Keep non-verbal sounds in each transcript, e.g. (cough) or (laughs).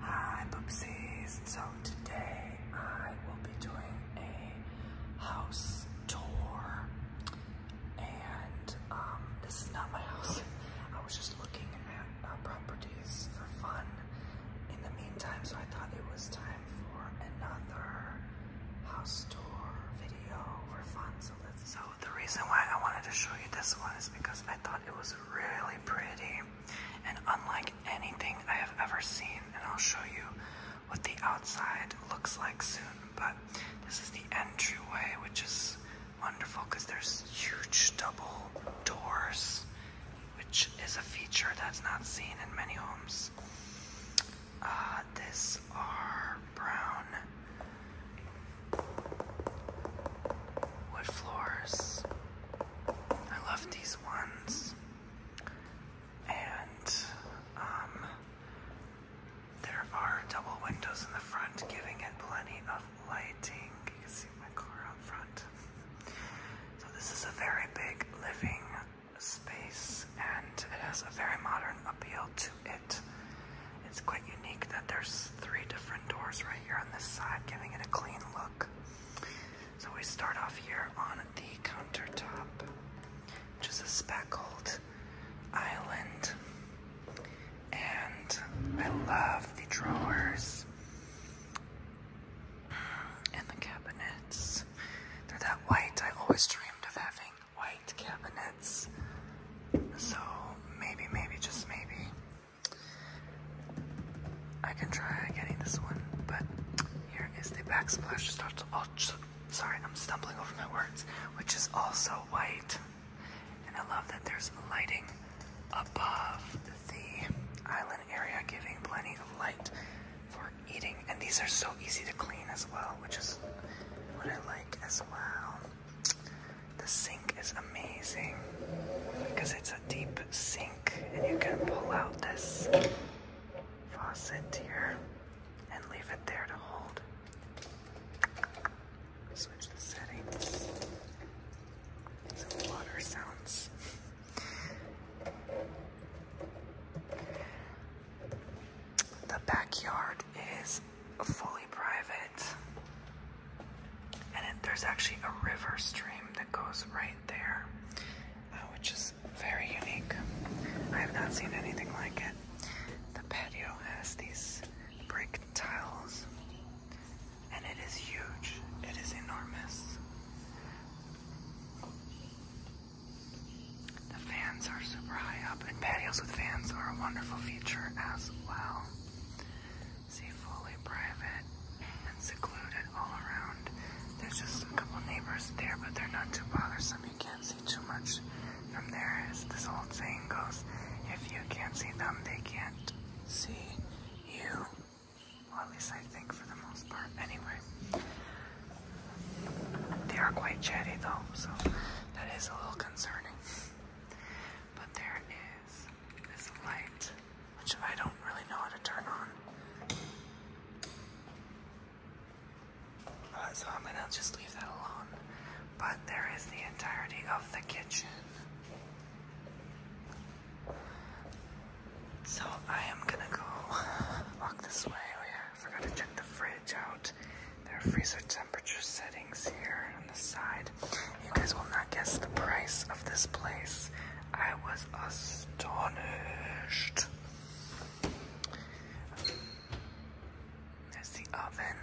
Hi Boopsies! So today I will be doing a house tour and um, this is not my (laughs) house. I was just looking at uh, properties for fun in the meantime so I thought it was time for another house tour video for fun. So, so the reason why I wanted to show you this one is because I I thought it was really pretty and unlike anything I have ever seen. And I'll show you what the outside looks like soon. But this is the entryway, which is wonderful because there's huge double doors, which is a feature that's not seen in many homes. Uh, are brown wood floors. I love these ones. And um, there are double windows in the front, giving it plenty of lighting. You can see my car out front. So this is a very big living space and it has a very modern appeal it. It's quite unique that there's three different doors right here on this side, giving it a clean look. So we start off here on the countertop, which is a speckled island. And I love the drawers and the cabinets. They're that white. I always dreamed of having white cabinets. So maybe, maybe, just maybe, I can try getting this one. But here is the backsplash. Starts. Oh, sorry, I'm stumbling over my words. Which is also white, and I love that there's lighting above the island area, giving plenty of light for eating. And these are so easy to clean as well, which is what I like as well. The sink is amazing because it's a deep sink and you can pull out this faucet here and leave it there to hold. Switch the settings. Some water sounds. The backyard is fully private. And there's actually a river stream that goes right there, uh, which is very unique. I have not seen anything like it. The patio has these brick tiles, and it is huge, it is enormous. The fans are super high up and patios with fans are a wonderful feature as well. See, fully private and secluded all around. There's just a couple neighbors there, but they're not too bothersome. You can't see too much from there, as this old saying goes. If you can't see them, they can't see you. Well, at least I think for the most part. Anyway, they are quite chatty though, so that is a little concerning. But there is this light, which I don't really know how to turn on. Uh, so I'm gonna just leave that alone. But there is the entirety of the kitchen. So I am gonna go (laughs) walk this way. Oh yeah, forgot to check the fridge out out. There are freezer temperature settings here on the side. You guys will not guess the price of this place. I was astonished. There's the oven,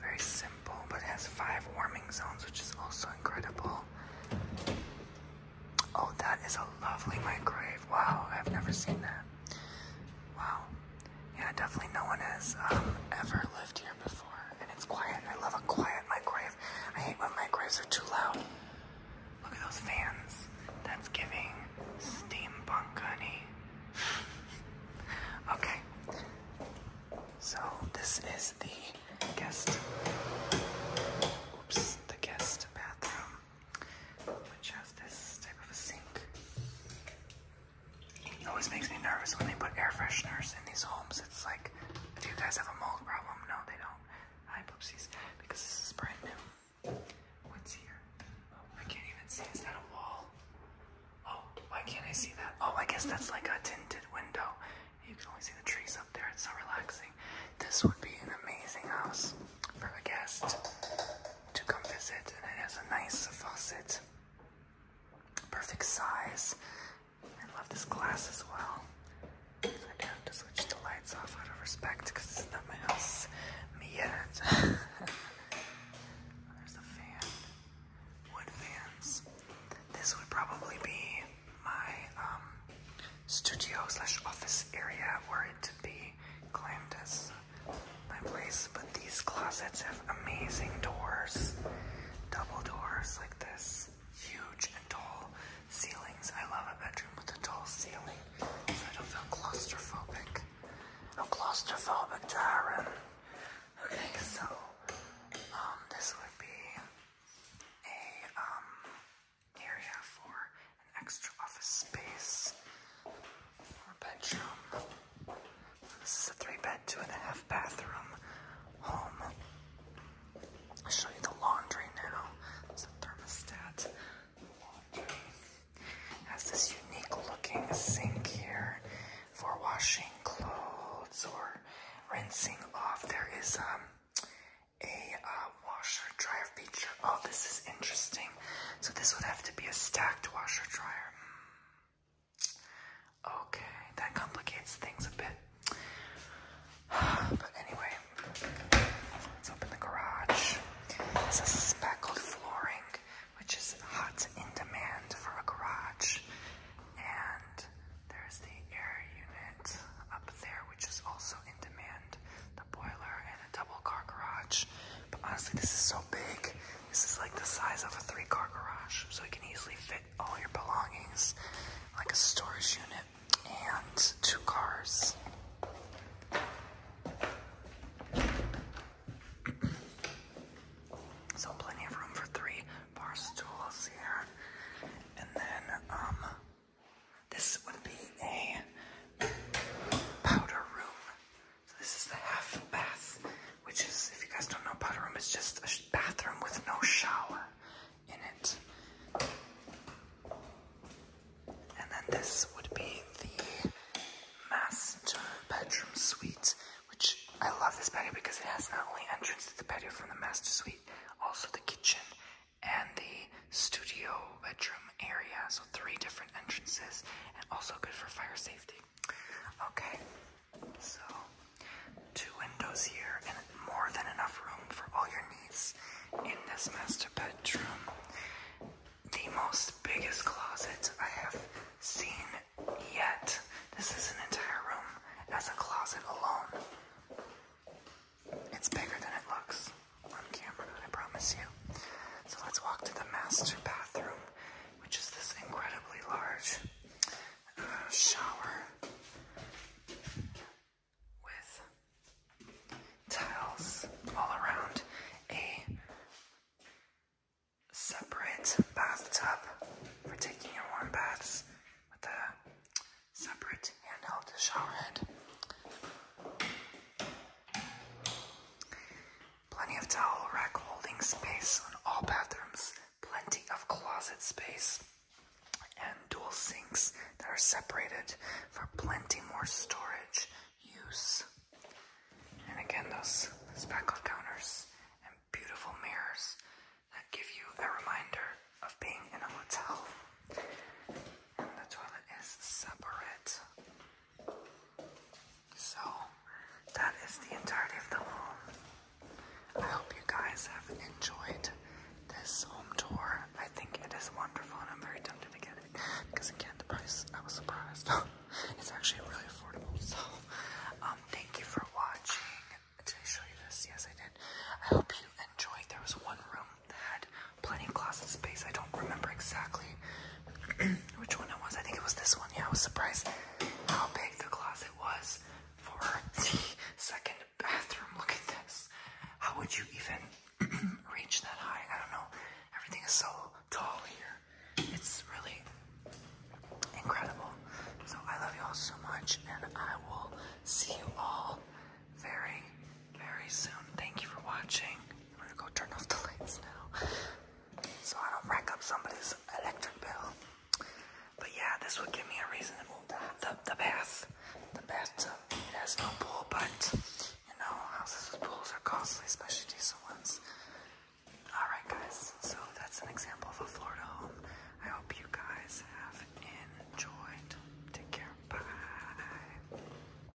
very simple, but it has five warming zones, which is also incredible. Oh, that is a lovely microwave. Wow, I've never seen that. Wow. Yeah, definitely no one has um, ever lived here before. And it's quiet. I love a quiet microwave. I hate when microwaves are too loud. Look at those fans. That's giving steampunk, honey. (laughs) okay. So this is the guest. Oops, the guest bathroom, which has this type of a sink. It always makes me nervous when they put air fresheners in these homes. It's like, do you guys have a mold problem? No, they don't. Hi, poopsies. Because this is brand new. What's here? Oh, I can't even see. Is that a wall? Oh, why can't I see that? Oh, I guess that's like a tinted window. You can only see the trees up there. It's so relaxing. This would be an amazing house for a guest to come visit, and it has a nice faucet perfect size. I love this glass as well. I do have to switch the lights off out of respect because this is not my house. Me yet. (laughs) There's the fan. Wood fans. This would probably be my um, studio slash office area were it to be claimed my place, but these closets have amazing doors, double doors like this, huge and tall ceilings. I love a bedroom with a tall ceiling, I don't feel claustrophobic. No claustrophobic, Darren. Okay, so um, this would be a um, area for an extra office space bedroom. This is a three bed, two and a half bathroom home. I'll show you the laundry now. There's a thermostat. The has this unique looking sink here for washing clothes or rinsing off. There is um, a uh, washer dryer feature. Oh, this is interesting. So this would have to be a stacked washer dryer. Okay, that complicates things a bit. (sighs) But anyway, let's open the garage. This is speckled flooring, which is hot in demand for a garage. And there's the air unit up there, which is also in demand. The boiler and a double car garage. But honestly, this is so big. This is like the size of a three-car garage, so you can easily fit all your belongings, like a storage unit, and two cars. so plenty of room for three bar stools here. And then, um, this would be a powder room. So this is the half bath, which is, if you guys don't know, bathroom is just a bathroom with no shower in it. And then this would be the master bedroom suite, which I love this patio because it has not only entrance to the patio from the master suite, also the kitchen and the studio bedroom area. So three different entrances and also good for fire safety. Okay, so two windows here and more than enough room for all your needs in this master bedroom. The most biggest closet I have seen yet. This is an entire room as a closet alone. It's bigger than it looks on camera, I promise you. So let's walk to the master bathroom, which is this incredibly large uh, shower with tiles all around a separate bathtub for taking your warm baths with a separate handheld shower head. Plenty of towel rack holding space on all bathrooms. Plenty of closet space. And dual sinks that are separated for plenty more storage use. And again, those speckled counters and beautiful mirrors that give you a reminder of being in a hotel. And the toilet is separate. So, that is the entirety of the room. I hope you guys have enjoyed this home tour. I think it is wonderful and I'm very tempted to get it because again, the price, I was surprised. (laughs) it's actually really affordable. So, um, thank you for watching. Did I show you this? Yes, I did. I hope you enjoyed. There was one room that had plenty of closet space. I don't remember exactly (clears throat) which one it was. I think it was this one. Yeah, I was surprised how big the closet was for (laughs) the second bathroom. Look at this. How would you even (clears throat) reach that high? I don't know. Everything is so tall here. It's really incredible. So I love you all so much, and I will see you all very, very soon. Thank you for watching. I'm gonna go turn off the lights now so I don't rack up somebody's electric bill. But yeah, this would give me a reason to move the, the, the bath. The bathtub, it has no pool, but you know, houses with pools are costly, especially decent ones. Alright guys, so that's an example of a Florida home. I hope you guys have enjoyed. Take care. Bye.